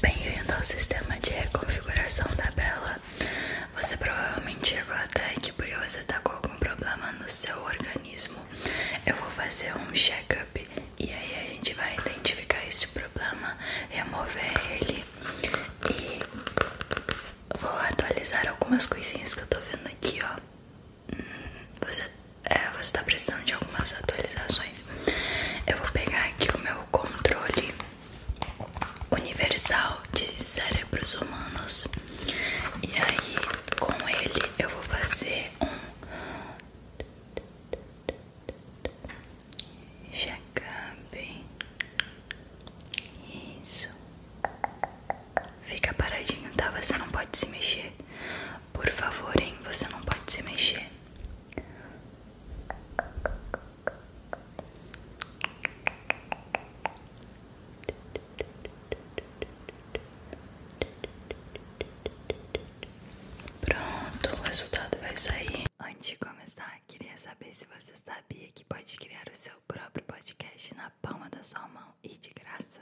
Bem-vindo ao sistema de reconfiguração da Bela. Você provavelmente chegou até aqui porque você está com algum problema no seu organismo. Eu vou fazer um check-up e aí a gente vai identificar esse problema, remover ele e vou atualizar algumas coisinhas que eu tô vendo aqui, ó. Hum, você, é, você tá precisando de algumas atualizações. Eu vou pegar aqui o meu controle universal de cérebros humanos e aí com ele eu vou fazer um check-up. Isso. Fica paradinho, tá? Você não pode se mexer. Por favor, hein? Você não pode se mexer. Pronto, o resultado vai sair. Antes de começar, queria saber se você sabia que pode criar o seu próprio podcast na palma da sua mão e de graça.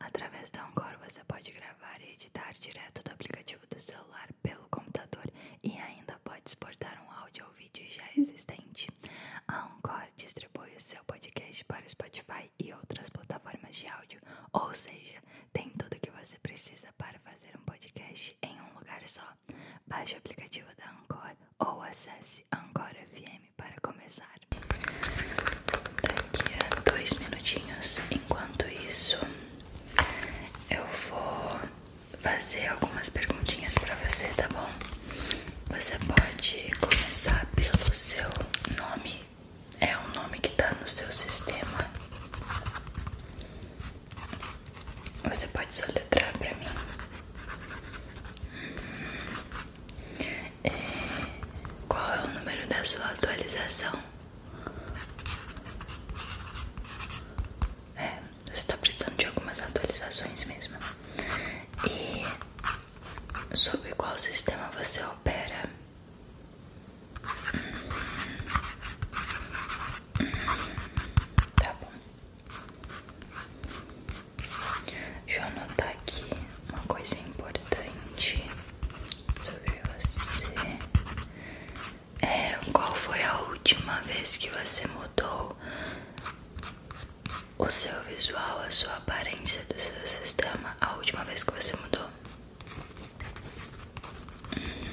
Através da Anchor você pode gravar gravar e editar direto do aplicativo do celular pelo computador e ainda pode exportar um áudio ou vídeo já existente. A Encore distribui o seu podcast para o Spotify e outras plataformas de áudio, ou seja, tem tudo que você precisa para fazer um podcast em um lugar só. Baixe o aplicativo da Encore ou acesse Encore FM para começar daqui a dois minutinhos. Enquanto isso, eu vou fazer algumas perguntinhas para você, tá bom? Você pode começar pelo seu nome. É o nome que tá no seu sistema. Você pode soletrar para mim. Uhum. É, qual é o número da sua atualização? É, você está precisando de algumas atualizações mesmo. E sobre qual sistema você opera? Tá bom. Deixa eu anotar aqui uma coisa importante sobre você. É, qual foi a última vez que você mudou o seu visual, a sua aparência do seu sistema? A última vez que você mudou? Hum,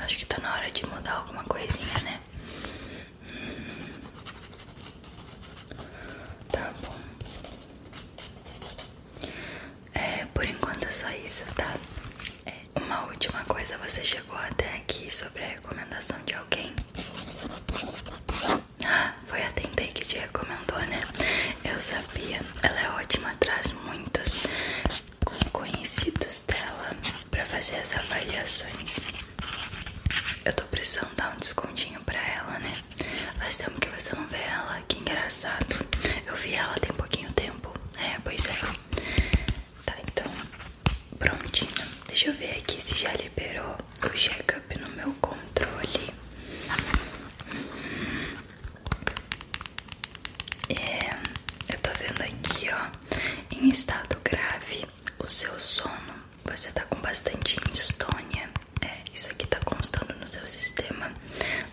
acho que tá na hora de mudar alguma coisinha, né? Hum, tá bom. É, por enquanto é só isso, tá? É, uma última coisa, você chegou até aqui sobre a recomendação de alguém? Ah, foi a Tentei que te recomendou, né? Eu sabia, ela é ótima, traz muitos conhecidos dela pra fazer as avaliações. Eu tô precisando dar um descontinho pra ela, né? Faz tempo que você não vê ela, que engraçado. Eu vi ela tem pouquinho tempo. É, pois é. Tá, então, prontinho. Deixa eu ver aqui se já liberou o check-up no meu controle. Uhum. É, eu tô vendo aqui, ó, em estado grave, o seu sono. Você tá com bastante insônia é, isso aqui tá constando no seu sistema.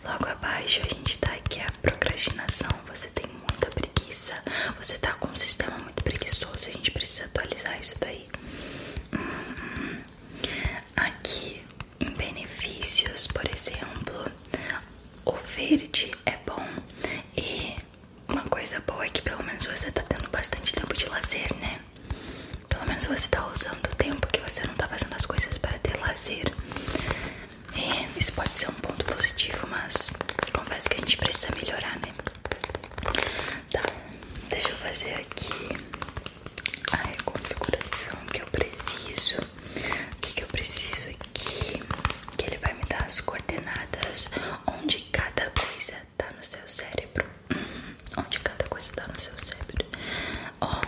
Logo abaixo a gente tá aqui a procrastinação. Você tem muita preguiça, você tá com um sistema muito preguiçoso. A gente precisa atualizar isso daí. Uhum. aqui em benefícios, por exemplo, o verde é bom e uma coisa boa é que pelo menos você tá tendo bastante tempo de lazer, né? Pelo menos você tá usando o tempo que você não tá fazendo as coisas para ter lazer. É, isso pode ser um ponto positivo, mas confesso que a gente precisa melhorar, né? Tá, deixa eu fazer aqui a reconfiguração que eu preciso. O que, que eu preciso aqui? Que ele vai me dar as coordenadas onde cada coisa tá no seu cérebro. Uhum. Onde cada coisa tá no seu cérebro. Ó,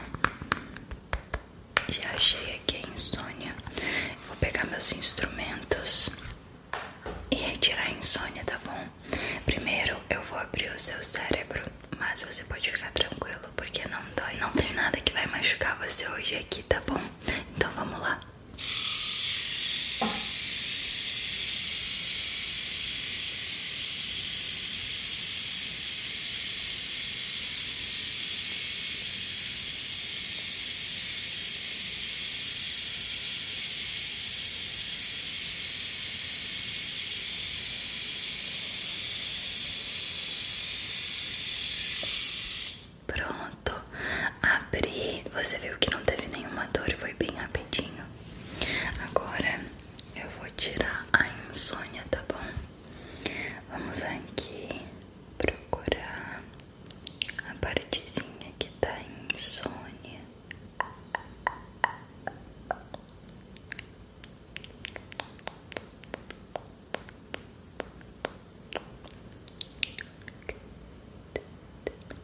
já achei aqui a insônia. Vou pegar meus instrumentos e retirar a insônia, tá bom? Primeiro eu vou abrir o seu cérebro, mas você pode ficar tranquilo porque não dói. Não tem nada que vai machucar você hoje aqui, tá bom? Então vamos lá. Pronto, abri. Você viu que não teve nenhuma dor, foi bem rapidinho. Agora eu vou tirar a insônia, tá bom? Vamos aqui procurar a partezinha que tá insônia.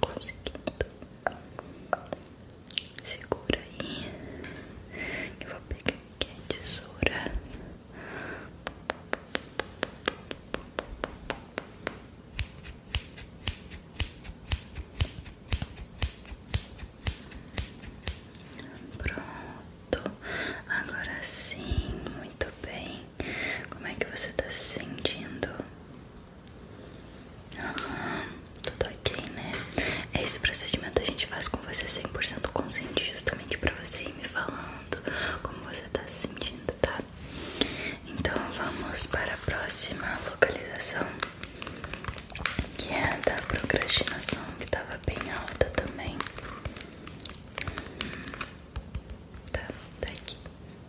conseguindo. Segura aí. Eu vou pegar aqui a tesoura. Pronto, agora sim, muito bem. Como é que você tá se sentindo? Aham, tudo ok, né? Esse procedimento a gente faz com você 100% consciente, justamente pra você ir me falando como você tá se sentindo, tá? Então vamos para a próxima localização, que é a da procrastinação, que tava bem alta também. Hum, tá, tá aqui.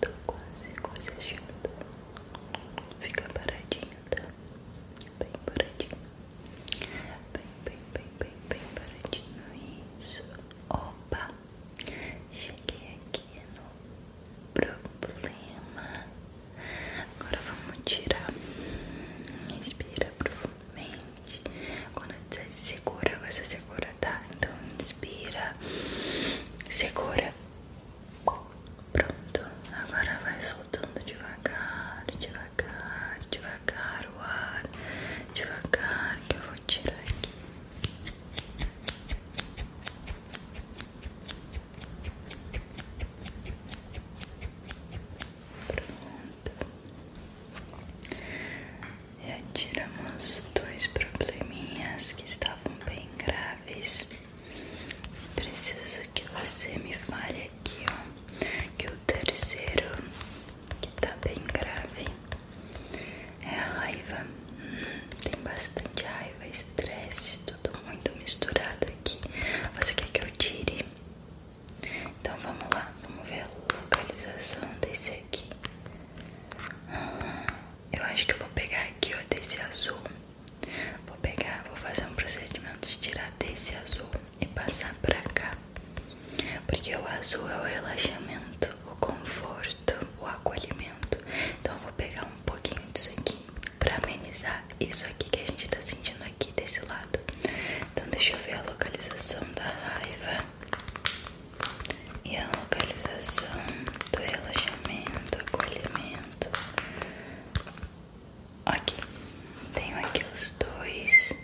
Tô quase, quase Fica paradinho, tá? Bem paradinho. Bem, bem, bem, bem, bem paradinho. Isso. Opa, cheguei aqui no problema. Agora vamos tirar. Inspira profundamente. Quando eu disser segura, você segura, tá? Então inspira, segura. Pronto, agora vai soltando devagar, devagar, devagar devagar o ar, devagar que eu vou tirar aqui. Pronto. Já tiramos dois probleminhas que estavam bem graves. Preciso que você me fale aqui, ó, que o terceiro, que tá bem grave, é a raiva. Tem bastante raiva, estresse, tudo muito misturado aqui. Você quer que eu tire? Então vamos lá, vamos ver a localização desse aqui. Ah, eu acho que eu vou pegar aqui, ó, desse azul. Vou pegar, vou fazer um procedimento de tirar desse azul e passar pra cá, porque o azul é o relaxamento, o conforto, o acolhimento. Então eu vou pegar um pouquinho disso aqui pra amenizar isso aqui que a gente tá sentindo aqui desse lado. Então deixa eu ver a localização da raiva e a localização do relaxamento, acolhimento. Aqui, tenho aqui os dois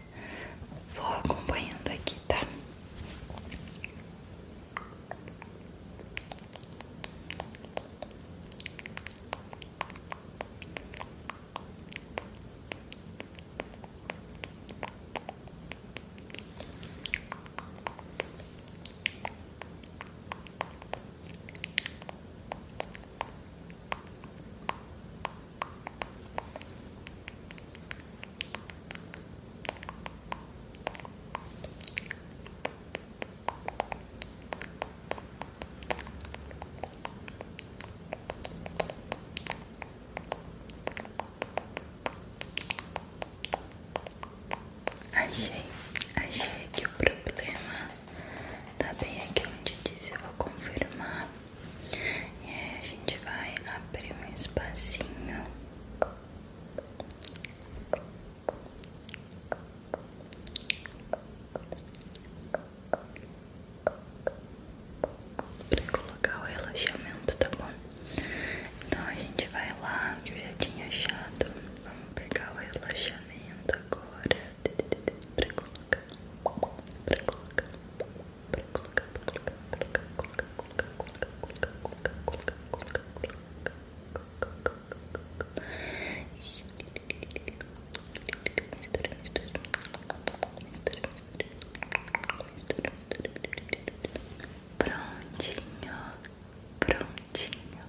Vou acompanhando aqui, tá? Achei, achei que o problema tá bem aqui onde diz. Eu vou confirmar e aí a gente vai abrir um espacinho pra colocar o relaxamento, tá bom? Então a gente vai lá, que eu já tinha achado. Vamos pegar o relaxamento agora pra colocar, pra colocar, pra colocar, pra colocar, colocar, colocar, colocar, colocar, colocar, colocar, colocar, colocar, colocar, mistura, mistura, mistura, mistura, mistura, prontinho, prontinho.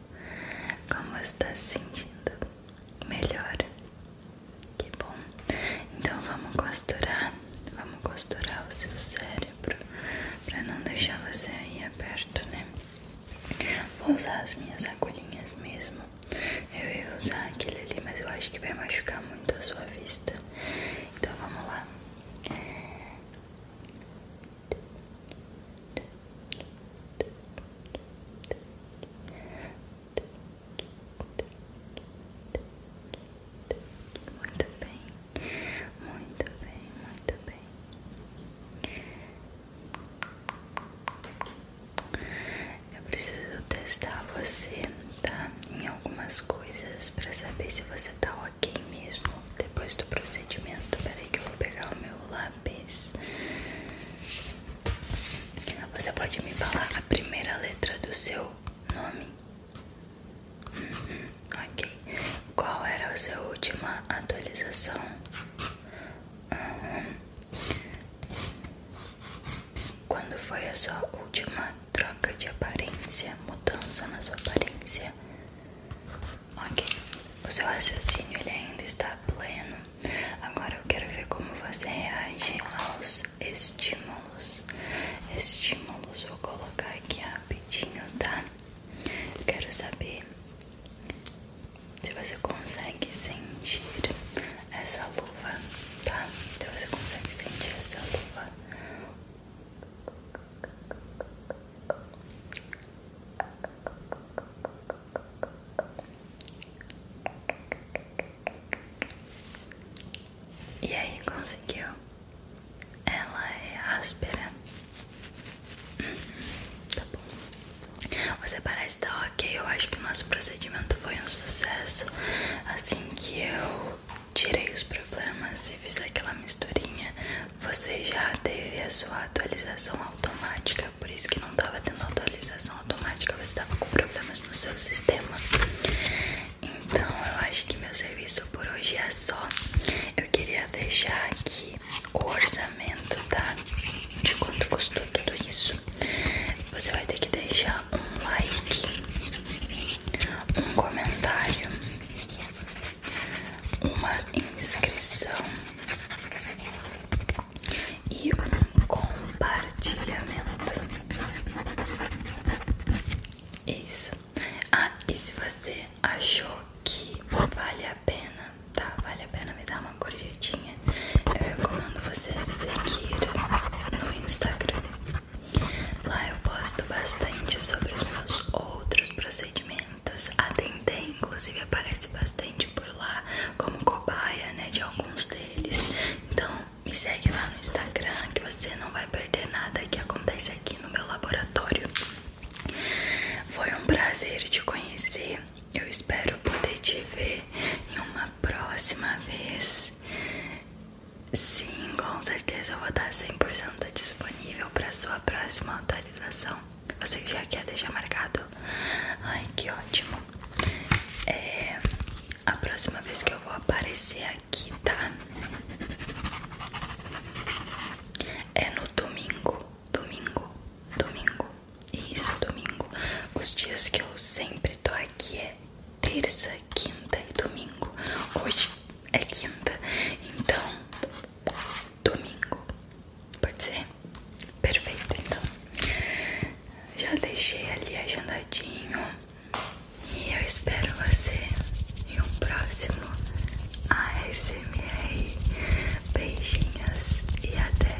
Como está se sentindo? Melhor. Que bom. Então vamos costurar, vamos costurar o seu cérebro para não deixar você aí aberto, né? Vou usar as minhas agulhinhas mesmo. Eu ia usar aquele ali, mas eu acho que vai machucar muito a sua vista. Então vamos lá. Muito bem, muito bem, muito bem. Eu preciso testar você, tá? Em algumas coisas para saber se você tá ok mesmo depois do procedimento. aí que eu vou pegar o meu lápis. Você pode me falar a primeira letra do seu nome? Uhum, ok. Qual era a sua última atualização? Quando foi a sua última troca de aparência? Mudança na sua aparência? Ok. O seu raciocínio ele ainda está pleno? Agora eu quero ver como você reage aos estímulos. Estímulos, vou colocar aqui rapidinho, tá? Eu quero saber se você consegue sentir essa luva, tá? Se você consegue sentir essa luva. E aí conseguiu? Ela é áspera. Uhum, tá bom. Você parece estar tá ok. Eu acho que o nosso procedimento foi um sucesso. Assim que eu tirei os problemas e fiz aquela misturinha, você já teve a sua atualização automática por isso que não estava tendo atualização automática, você estava com problemas no seu sistema. Então eu acho que meu serviço por hoje é só. Eu queria deixar aqui o orçamento, tá? De quanto custou tudo isso. Você vai ter que deixar um like, um comentário, uma inscrição e um compartilhamento. Isso. Ah, e se você achou que vale a pena, tá? Vale a pena me dar uma gorjetinha. Eu recomendo você seguir no Instagram. Lá eu posto bastante sobre os meus outros procedimentos talentos. A inclusive, aparece bastante por lá como cobaia, né, de alguns deles. Então, me segue lá no Instagram que você não vai perder nada que acontece aqui no meu laboratório. Foi um prazer te conhecer. Eu espero poder te ver em uma próxima vez. Sim, com certeza eu vou estar 100% disponível para sua próxima atualização. Você já quer deixar marcado? Ai, que ótimo. É, a próxima vez que eu vou aparecer aqui, tá? É no domingo. Domingo. Domingo. Isso, domingo. Os dias que eu sempre tô aqui é terça, quinta e domingo. Hoje é quinta. Então, domingo. Pode ser? Perfeito, então. Já deixei ali agendadinho. E eu espero você em um próximo ASMR. Beijinhos e até.